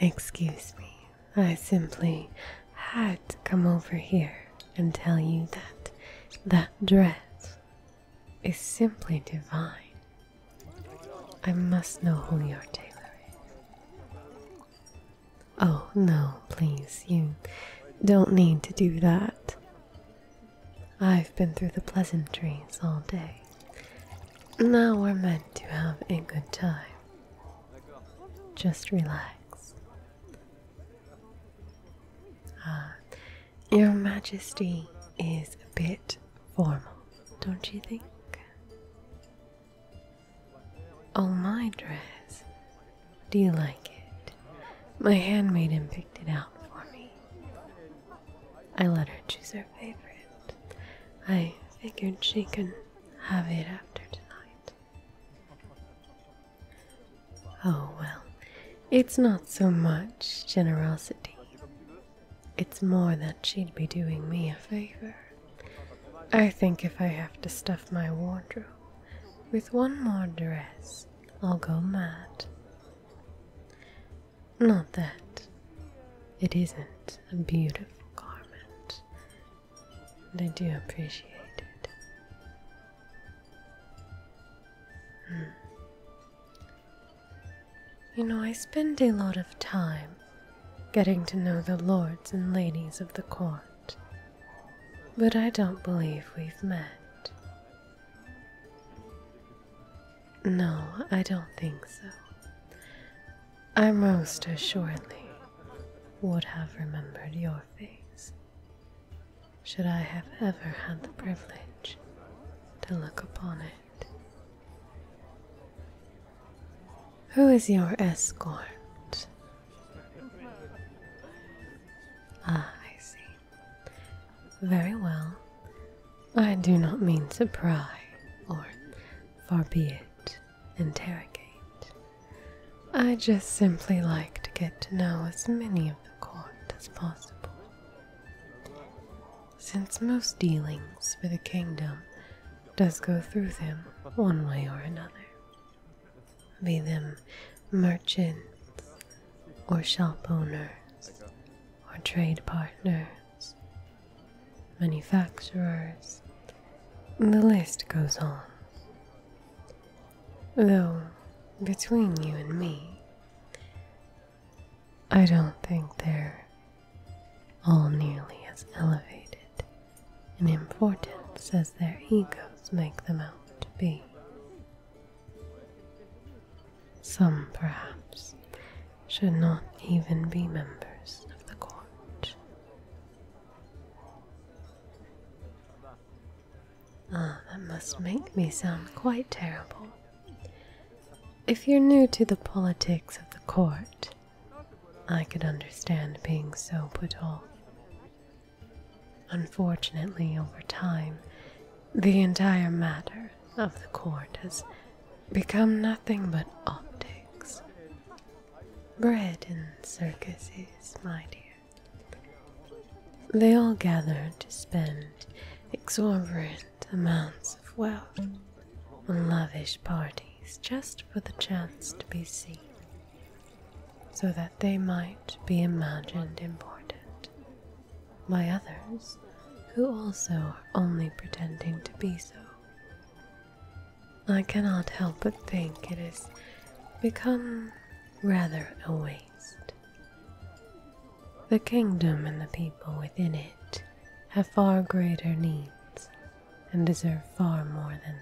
Excuse me, I simply had to come over here and tell you that that dress is simply divine. I must know who your tailor is. Oh, no, please, you don't need to do that. I've been through the pleasantries all day, now we're meant to have a good time. Just relax. Ah, Your Majesty is a bit formal, don't you think? Oh, my dress. Do you like it? My handmaiden picked it out for me. I let her choose her favorite. I figured she can have it after tonight. Oh well, it's not so much generosity. It's more that she'd be doing me a favor. I think if I have to stuff my wardrobe with one more dress, I'll go mad. Not that it isn't a beautiful garment, and I do appreciate it. Hmm. You know, I spend a lot of time getting to know the lords and ladies of the court, but I don't believe we've met. No, I don't think so. I most assuredly would have remembered your face, should I have ever had the privilege to look upon it. Who is your escort? Ah, I see. Very well. I do not mean to pry or, far be it, interrogate. I just simply like to get to know as many of the court as possible. Since most dealings for the kingdom does go through them one way or another, be them merchants or shop owners or trade partners manufacturers, the list goes on. Though, between you and me, I don't think they're all nearly as elevated in importance as their egos make them out to be. Some, perhaps, should not even be members of the court. Ah, that must make me sound quite terrible. If you're new to the politics of the court, I could understand being so put off. Unfortunately, over time, the entire matter of the court has become nothing but optics. Bred in circuses, my dear. They all gather to spend exorbitant amounts of wealth on lavish parties just for the chance to be seen, so that they might be imagined important by others who also are only pretending to be so. I cannot help but think it has become rather a waste. The kingdom and the people within it have far greater needs and deserve far more than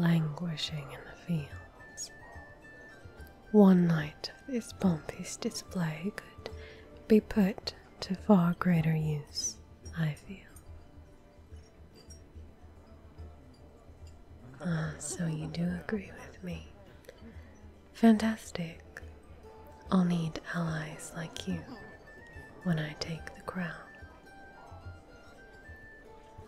languishing in the fields. One night of this pompous display could be put to far greater use, I feel. Ah, so you do agree with me. Fantastic. I'll need allies like you when I take the crown.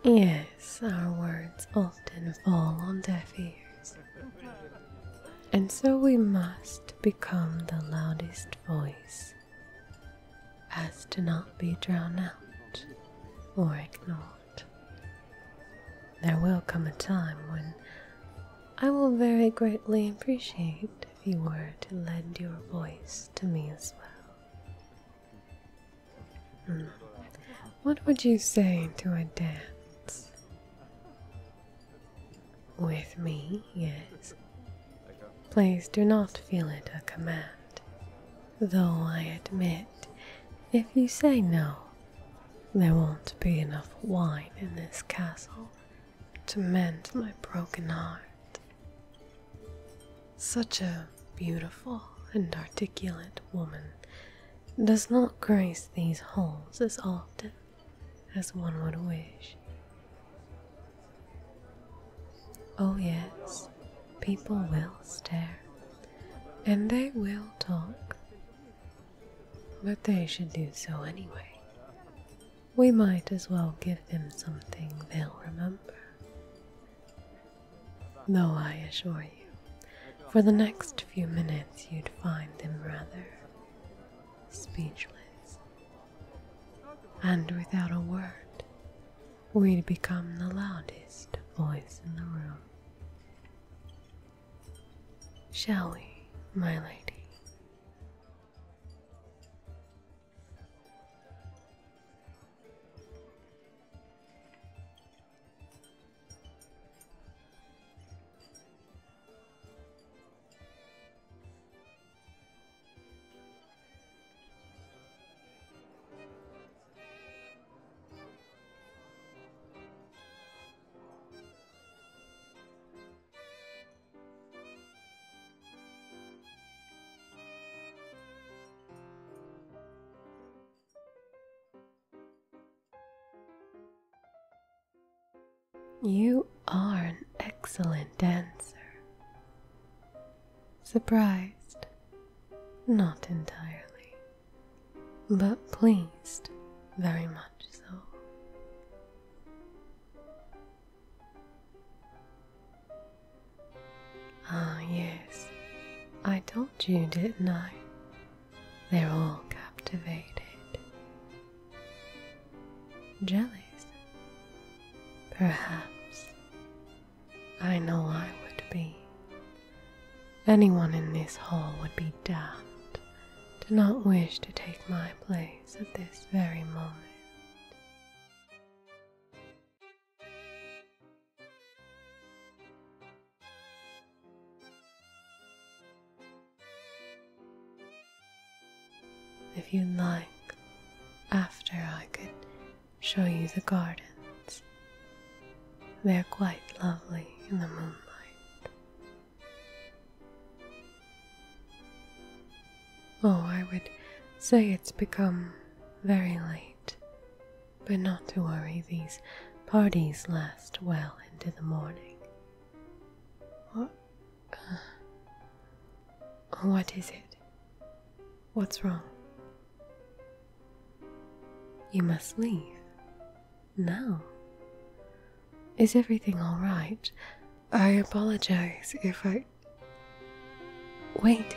Yes, our words often fall on deaf ears. And so we must become the loudest voice as to not be drowned out or ignored. There will come a time when I will very greatly appreciate if you were to lend your voice to me as well. Hmm. What would you say to a dance? With me, yes. Please do not feel it a command. Though I admit, if you say no, there won't be enough wine in this castle to mend my broken heart. Such a beautiful and articulate woman does not grace these halls as often as one would wish. Oh, yes, people will stare and they will talk, but they should do so anyway. We might as well give them something they'll remember. Though I assure you, for the next few minutes you'd find them rather speechless and without a word, we'd become the loudest voice in the room. Shall we, my lady? You are an excellent dancer. Surprised, not entirely, but pleased very much so. Ah, yes, I told you, didn't I? They're all captivated. Jellies? Perhaps. I know I would be. Anyone in this hall would be daft to not wish to take my place at this very moment. If you would like, after I could show you the gardens. They're quite lovely in the moonlight. Oh, I would say it's become very late, but not to worry, these parties last well into the morning. Or what is it? What's wrong? You must leave. Now. Is everything alright? I apologize if I. Wait.